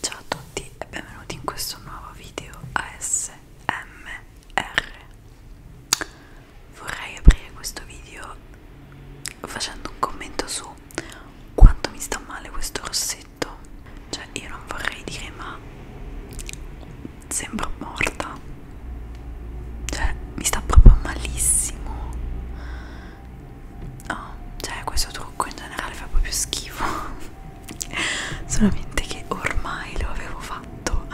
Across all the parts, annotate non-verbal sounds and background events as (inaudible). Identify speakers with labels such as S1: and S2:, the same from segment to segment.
S1: Ciao a tutti e benvenuti in questo nuovo video ASMR. Vorrei aprire questo video facendo un commento su quanto mi sta male questo rossetto. Cioè, io non vorrei dire, ma sembro morta. Cioè, mi sta proprio malissimo oh, cioè questo trucco in generale fa proprio schifo (laughs) solamente che ormai lo avevo fatto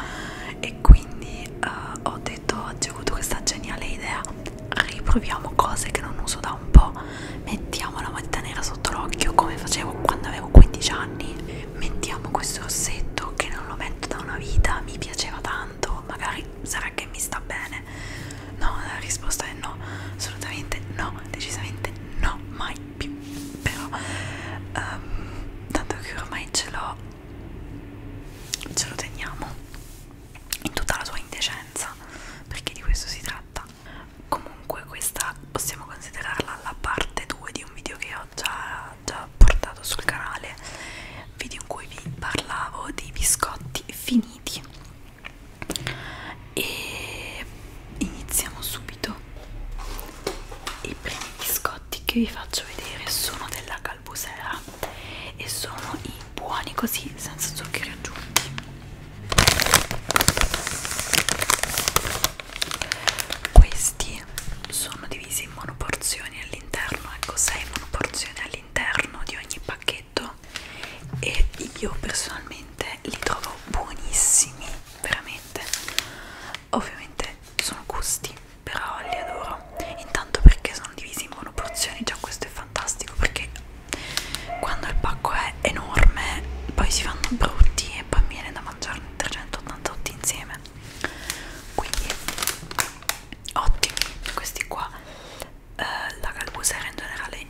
S1: e quindi uh, ho detto oggi ho avuto questa geniale idea riproviamo cose che non uso da un po' mettiamo la matita nera sotto l'occhio come facevo quando avevo 15 anni mettiamo questo rossetto che non lo metto da una vita mi piaceva tanto magari sarà che mi sta bene No, la risposta è no, assolutamente no, decisamente no, mai più. Però, um, tanto che ormai ce l'ho, ce lo teniamo in tutta la sua indecenza, perché di questo si tratta. Comunque, questa possiamo considerarla la parte 2 di un video che ho già, già portato sul canale video in cui vi parlavo dei biscotti finiti e iniziamo subito i primi biscotti che vi faccio vedere sono della Calbusera e sono i buoni così senza zuccheri aggiunti questi sono divisi in monoporzioni all'interno ecco 6 monoporzioni all'interno di ogni pacchetto e io personalmente li trovo buonissimi veramente ovviamente sono gusti però li adoro intanto perché sono divisi in monoporzioni già questo è fantastico perché quando il pacco è enorme poi si fanno brutti e poi viene da mangiarne 388 insieme quindi ottimi questi qua eh, la calbusera in generale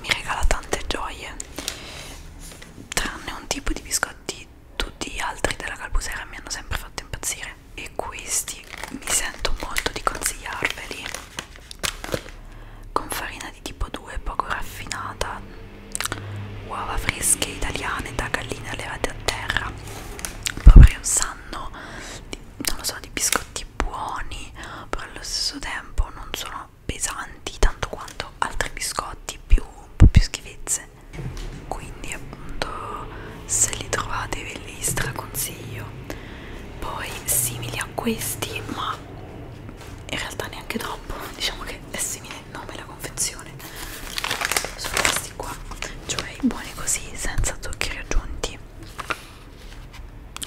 S1: mi regala tante gioie tranne un tipo di biscotti tutti gli altri della calbusera mi hanno sempre fatto impazzire e questi mi sento molto di consigliarveli con farina di tipo 2 poco raffinata uova fresche italiane da galline allevate a terra proprio sanno di, non lo so, di biscotti buoni però allo stesso tempo non sono pesanti tanto quanto altri biscotti più, un po' più schifezze quindi appunto se li trovate ve li straconsiglio poi simili a questi ma in realtà neanche troppo diciamo che è simile il nome e la confezione sono questi qua cioè i buoni così senza zuccheri aggiunti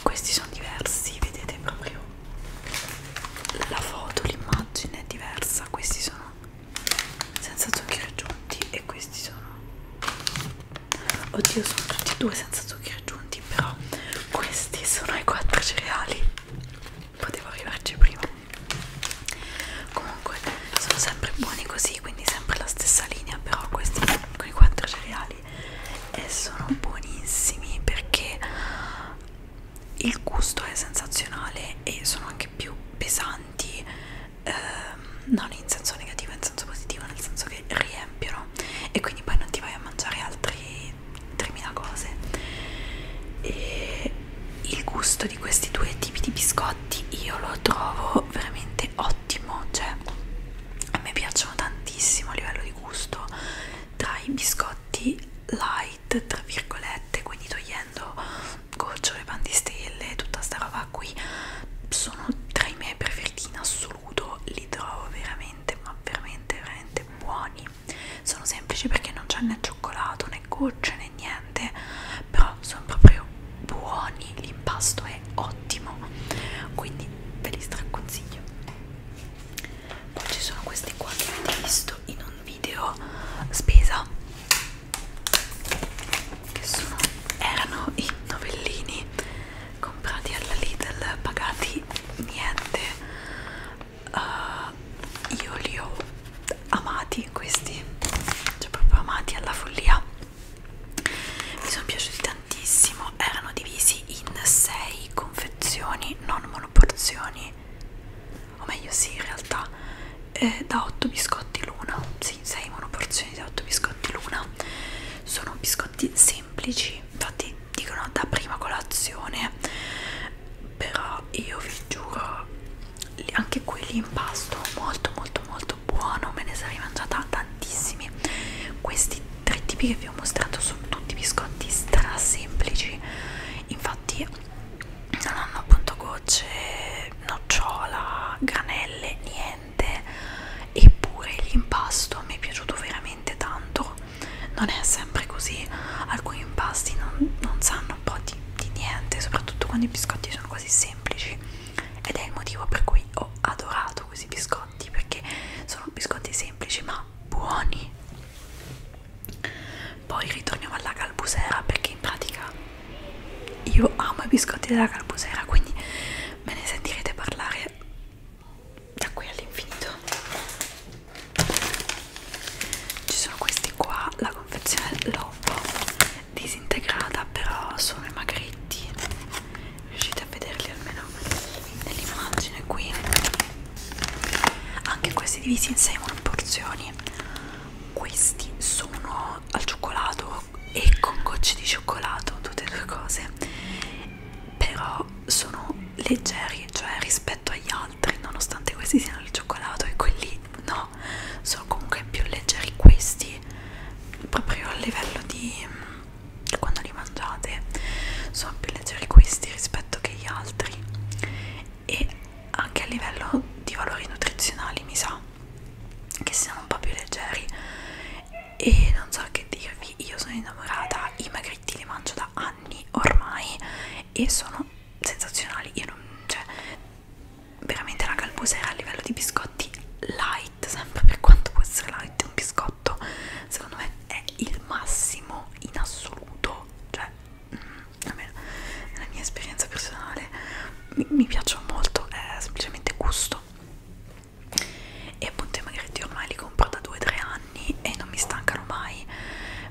S1: questi sono diversi vedete proprio la foto l'immagine è diversa questi sono senza zuccheri aggiunti e questi sono oddio sono tutti e due senza zuccheri aggiunti però questi sono i quattro cereali potevo arrivarci prima comunque sono sempre buoni così quindi sempre la stessa linea però questi con i quattro cereali e eh, sono buonissimi perché il gusto è sensazionale e sono anche più pesanti ehm, non in senso negativo in senso positivo nel senso che riempiono e quindi poi non ti vai a mangiare altri 3000 cose e il gusto di questi due tipi di biscotti io lo trovo veramente ottimo cioè a me piacciono tantissimo a livello di gusto tra i biscotti light tra virgolette quindi togliendo gocciole pandistelle tutta sta roba qui sono tra i miei preferiti in assoluto li trovo veramente ma veramente veramente buoni sono semplici perché non c'è né cioccolato né gocce né niente però sono proprio buoni l'impasto è ottimo quindi ve li straconsiglio poi ci sono questi qua che avete visto in un video spesa che sono, erano i novellini comprati alla Lidl pagati niente uh, io li ho amati questi cioè proprio amati alla follia mi sono piaciuti tantissimo erano divisi in 6 confezioni non monoporzioni o meglio sì in realtà eh, da 8 biscotti l'una sì 6 monoporzioni da 8 biscotti l'una sono biscotti semplici infatti dicono da prima colazione però io vi giuro anche qui l'impasto molto molto molto buono me ne sarei mangiata tantissimi questi tre tipi che vi ho mostrato sono tutti biscotti stra semplici infatti non hanno appunto gocce nocciola granelle niente eppure l'impasto mi è piaciuto veramente tanto non è sempre così alcuni impasti non, non sanno un po' di, di niente soprattutto quando i biscotti sono così semplici ed è il motivo per cui ho adorato questi biscotti perché sono biscotti semplici ma buoni poi ritorniamo alla calbusera perché in pratica io amo i biscotti della calbusera quindi me ne sentirete parlare da qui all'infinito ci sono questi qua la confezione l'ho un po' disintegrata però sono i magretti riuscite a vederli almeno nell'immagine qui anche questi divisi in 6 porzioni questi sono al cioccolato e con gocce di cioccolato tutte e due cose però sono leggeri cioè rispetto agli altri nonostante questi siano il cioccolato e quelli no sono comunque più leggeri questi proprio a livello di mm, quando li mangiate sono più leggeri questi rispetto che gli altri e anche a livello di valori nutrizionali mi sa che siano un po' più leggeri e non so che dirvi, io sono innamorata, i magritti li mangio da anni ormai e sono sensazionali, io non, cioè, veramente la calbusera a livello di biscotti light, sempre per quanto può essere light un biscotto, secondo me è il massimo in assoluto, cioè, mm, almeno nella mia esperienza personale mi, mi piacciono molto, è semplicemente gusto e appunto i magretti ormai li compro da 2-3 anni e non mi stancano mai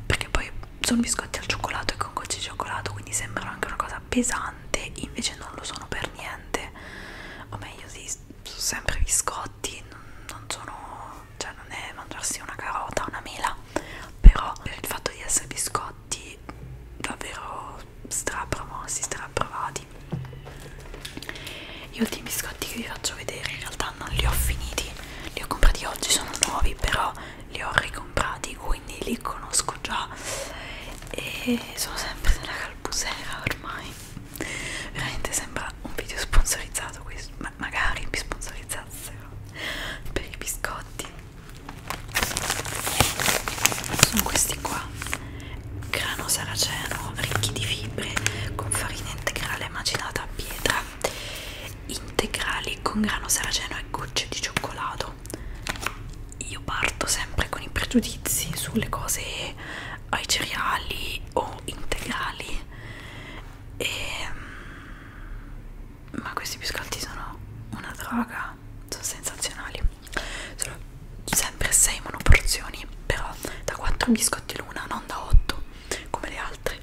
S1: perché poi sono biscotti al cioccolato e con gocce di cioccolato quindi sembrano anche una cosa pesante invece non lo sono per niente o meglio sì, sono sempre biscotti non sono cioè non è mangiarsi una carota una mela però per il fatto di essere biscotti davvero strapromossi, straprovati. Gli ultimi biscotti che vi faccio vedere in realtà non li ho finiti, li ho comprati oggi, sono nuovi, però li ho ricomprati, quindi li conosco già e sono sempre nella calbusera ormai. Veramente sembra un video sponsorizzato questo, ma magari mi sponsorizzassero per i biscotti. Sono questi qua grano saraceno ricchi di fibre con farina integrale macinata a pietra integrali con grano saraceno e gocce di cioccolato io parto sempre con i pregiudizi sulle cose ai cereali o integrali e... Ehm, ma questi biscotti sono una droga sono sensazionali sono sempre 6 monoporzioni però da 4 biscotti l'una non da 8 come le altre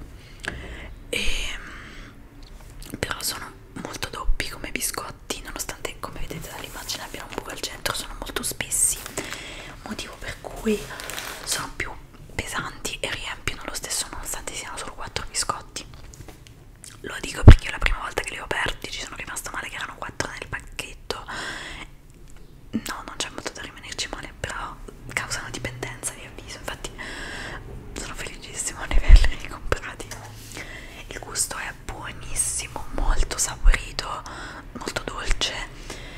S1: e, ehm, però sono molto doppi come biscotti nonostante come vedete dall'immagine abbiano un buco al centro sono molto spessi motivo per cui sono più pesanti e riempiono lo stesso nonostante siano solo 4 biscotti lo dico perché io la prima volta che li ho aperti ci sono rimasta male che erano 4 nel pacchetto no non c'è molto da rimanerci male però causano dipendenza vi avviso infatti sono felicissimo di averli ricomprati il gusto è buonissimo molto saporito molto dolce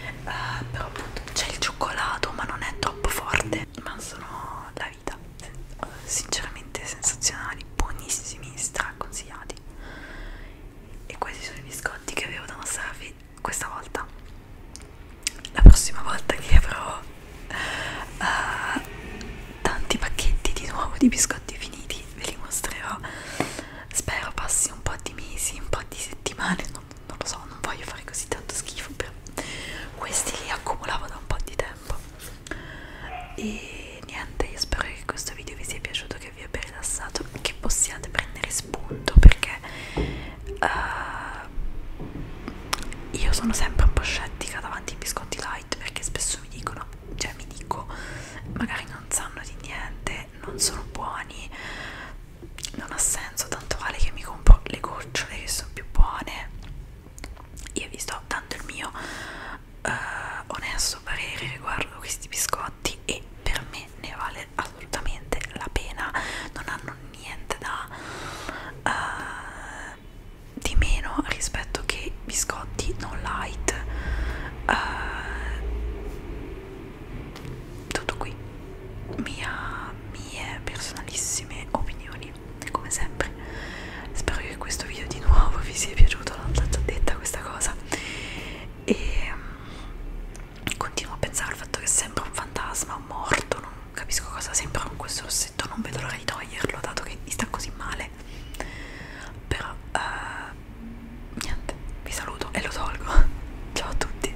S1: eh, però appunto c'è il cioccolato ma non è troppo forte ma sono la vita sinceramente sensazionali buonissimi straconsigliati e questi sono i biscotti che avevo da mostrarvi questa volta la prossima volta che avrò uh, tanti pacchetti di nuovo di biscotti finiti ve li mostrerò spero passi un po' di mesi un po' di settimane non, non lo so non voglio fare così tanto schifo però questi li accumulavo da un po' di tempo e niente io spero che questo video vi sia piaciuto che vi abbia rilassato che possiate prendere spunto perché uh, io sono sempre un po' scettica davanti ai biscotti light perché spesso mi dicono cioè mi dico magari non sanno di niente non sono buoni non ha senso tanto vale che mi compro le gocciole che sono più buone io vi sto dando il mio uh, onesto parere riguardo questi biscotti e per me ne vale assolutamente la pena non hanno niente da uh, di meno rispetto che biscotti non light uh, tutto qui mia, mie personalissime opinioni come sempre spero che questo video di nuovo vi sia piaciuto l'ho già detta questa cosa e mm, continuo a pensare al fatto che sembra un fantasma un morto non capisco cosa sembra con questo rossetto non vedo l'ora di toglierlo dato che mi sta così male però uh, niente vi saluto e lo tolgo (laughs) ciao a tutti